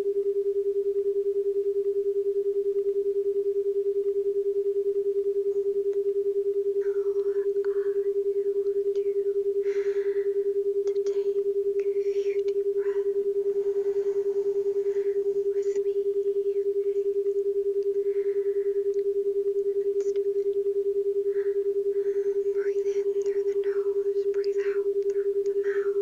to take a few deep breaths with me. Breathe in through the nose, breathe out through the mouth.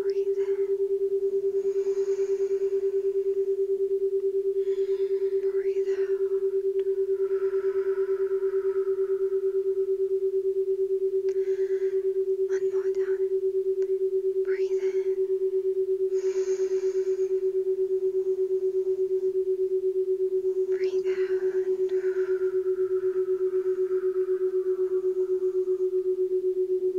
Breathe in. Breathe out. One more time. Breathe in. Breathe out.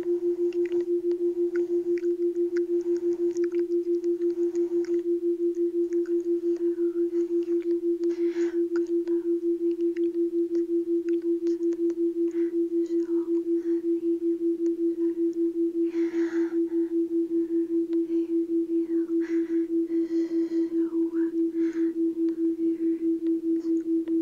so tired. So tired.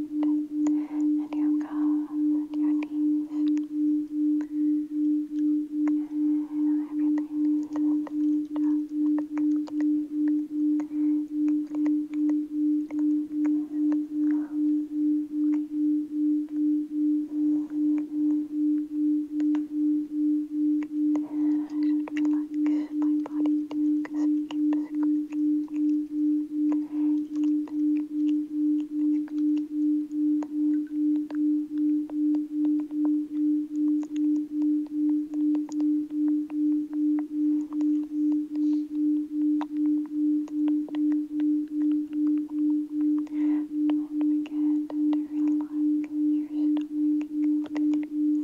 and your calves and your knees. Okay, everything is just I should relax my body because it keeps squeaking. Don't forget to relax your stomach.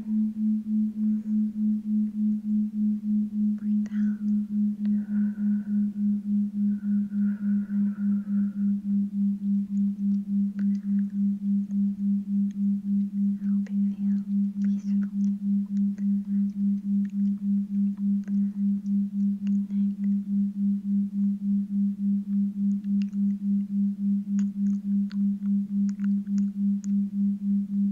Breathe out. I hope you feel peaceful. Good night.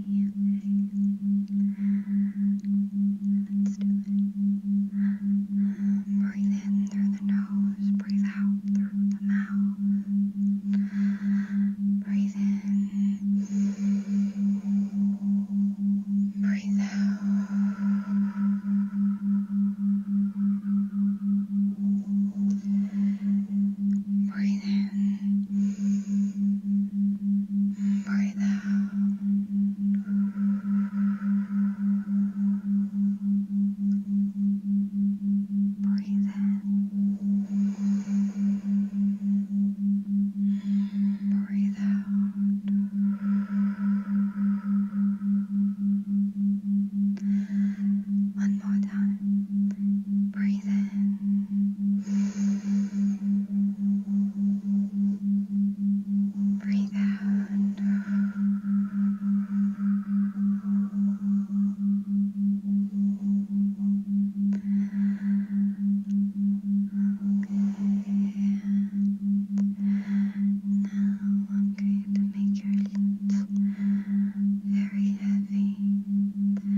Let's Breathe in through the nose, breathe out through the mouth. Breathe in, breathe out. Breathe in. Breathe out. Breathe in. Breathe out. One more time. Breathe in. Breathe out. Okay. Now I'm going to make your lips very heavy.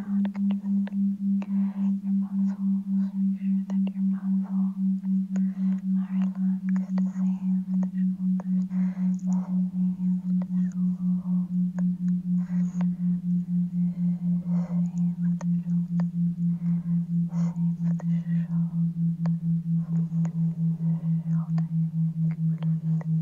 not controlling your muscles. Make sure that your muscles are relaxed, safe, the the shoulders safe, the the shoulder, shoulder, shoulder, shoulder, shoulder, shoulder, shoulder, shoulder, shoulder, shoulder, shoulder,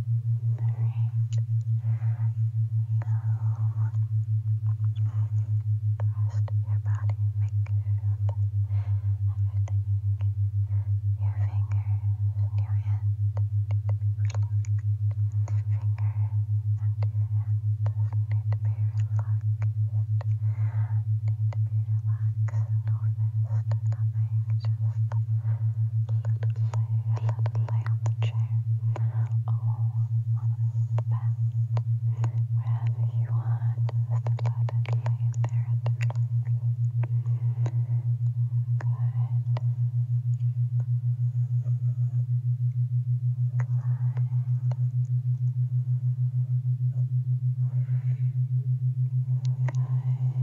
the rest of your body figured everything. Your fingers and your hand need to be relaxed. Your fingers and your hands need to be relaxed. Need to be relaxed. Notice nothing, just let it lay, let it lay on the chair, or on the bed, wherever you want, just let it lay there at the Good. Good.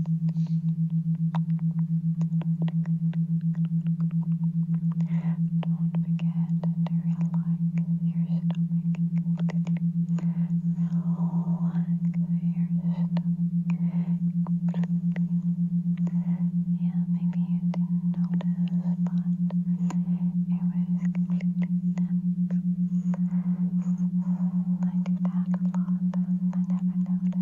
Don't forget to relax your stomach. Relax your stomach. Yeah, maybe you didn't notice, but it was completely I do that a lot, I never noticed.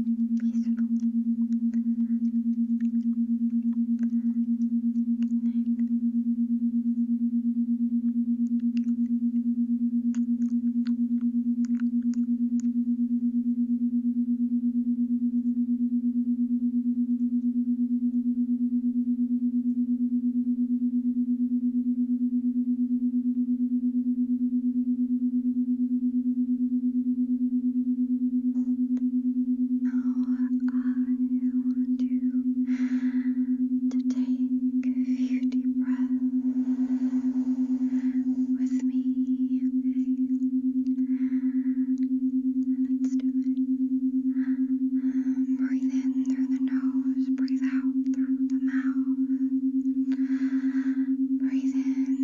peaceful. Good want you to take a few deep breaths with me. Let's do it. Breathe in through the nose, breathe out through the mouth. Breathe in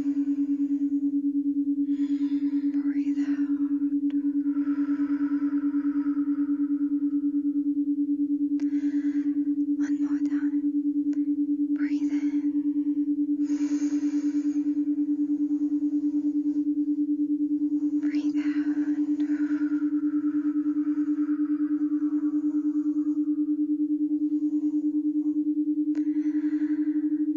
Breathe out. One more time. Breathe in. Breathe out.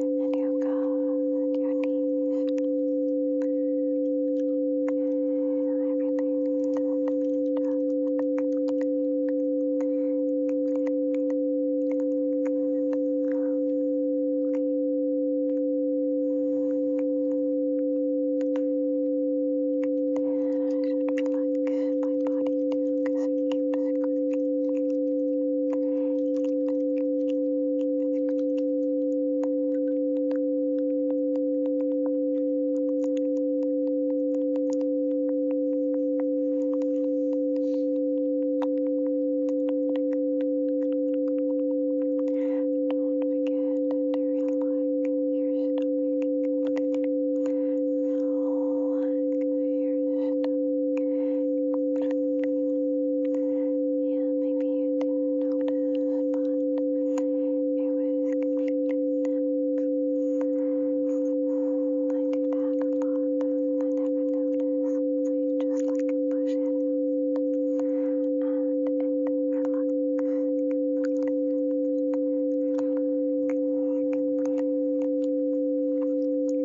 and your gum and your teeth. Okay, everything needs to be just Okay. And I should relax my body too because it keeps squeaking relax your stomach. Relax yeah, maybe you didn't notice, but it was completely dense. I do that a lot, and I never notice, so you just like push it out, and it relaxes completely. Relax, completely.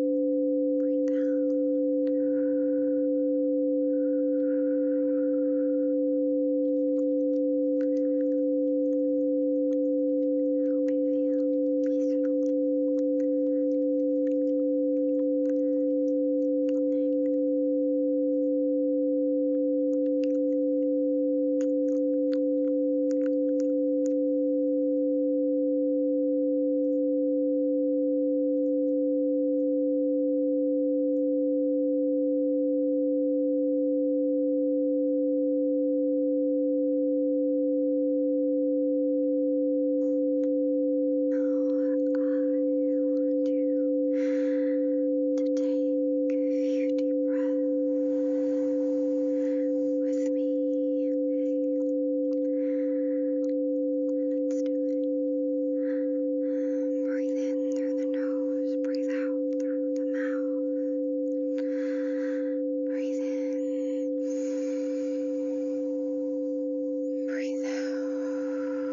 Breathe out. Help me feel peaceful. Good night want you to take a few deep breaths with me. Okay? Let's do it. Breathe in through the nose, breathe out through the mouth. Breathe in, breathe out.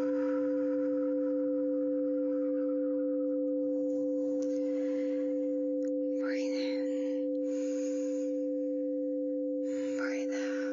Breathe in. Breathe out.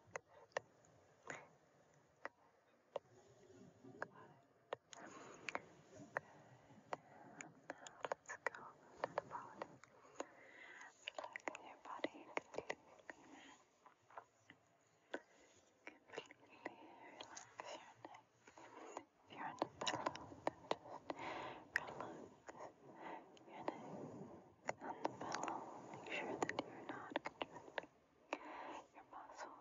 let's go to the body. Relax your body completely. Completely relax your neck. If you're on the pillow, then just relax your neck and pillow. Make sure that you're not contracting your muscles.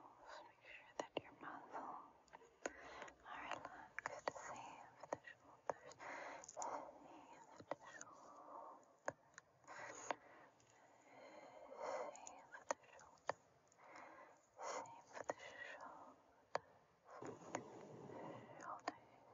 Make sure that your muscles are relaxed. Save the shoulders. Save the shoulders. Save the shoulders. Save the shoulders. Shoulders.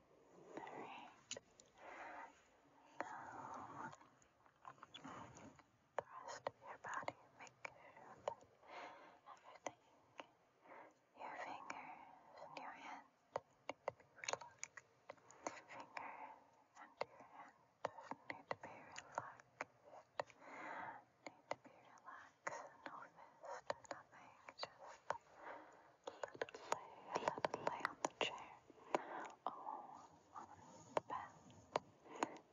the rest of your body, make sure that everything, your fingers and your hands need to be relaxed. Your fingers and your hands need to be relaxed. Need to be relaxed no fist, nothing, just let it lay, let it lay on the chair, on the bed,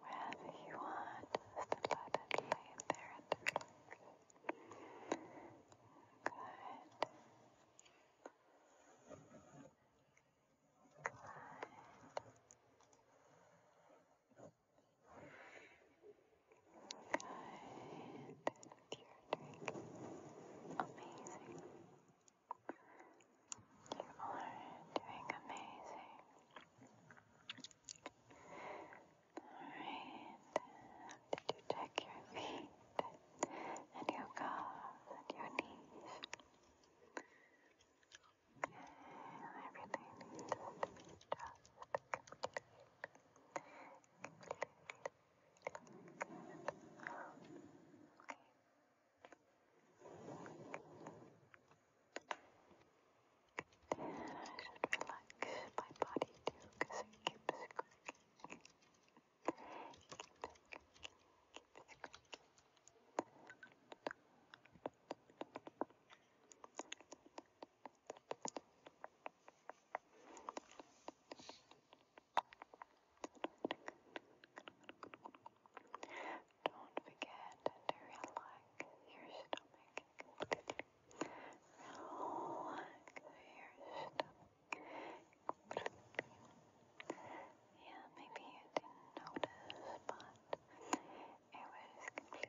wherever you are, just let it lay there Good. Good. Good. You're doing amazing. You are doing amazing. Alright. Did you check your feet and your calves and your knees? Okay, everything needs to be just completely relax my body too because it keeps squeaking. Keep don't forget to relax your stomach. Relax your stomach. Yeah, maybe you didn't notice, but it was completely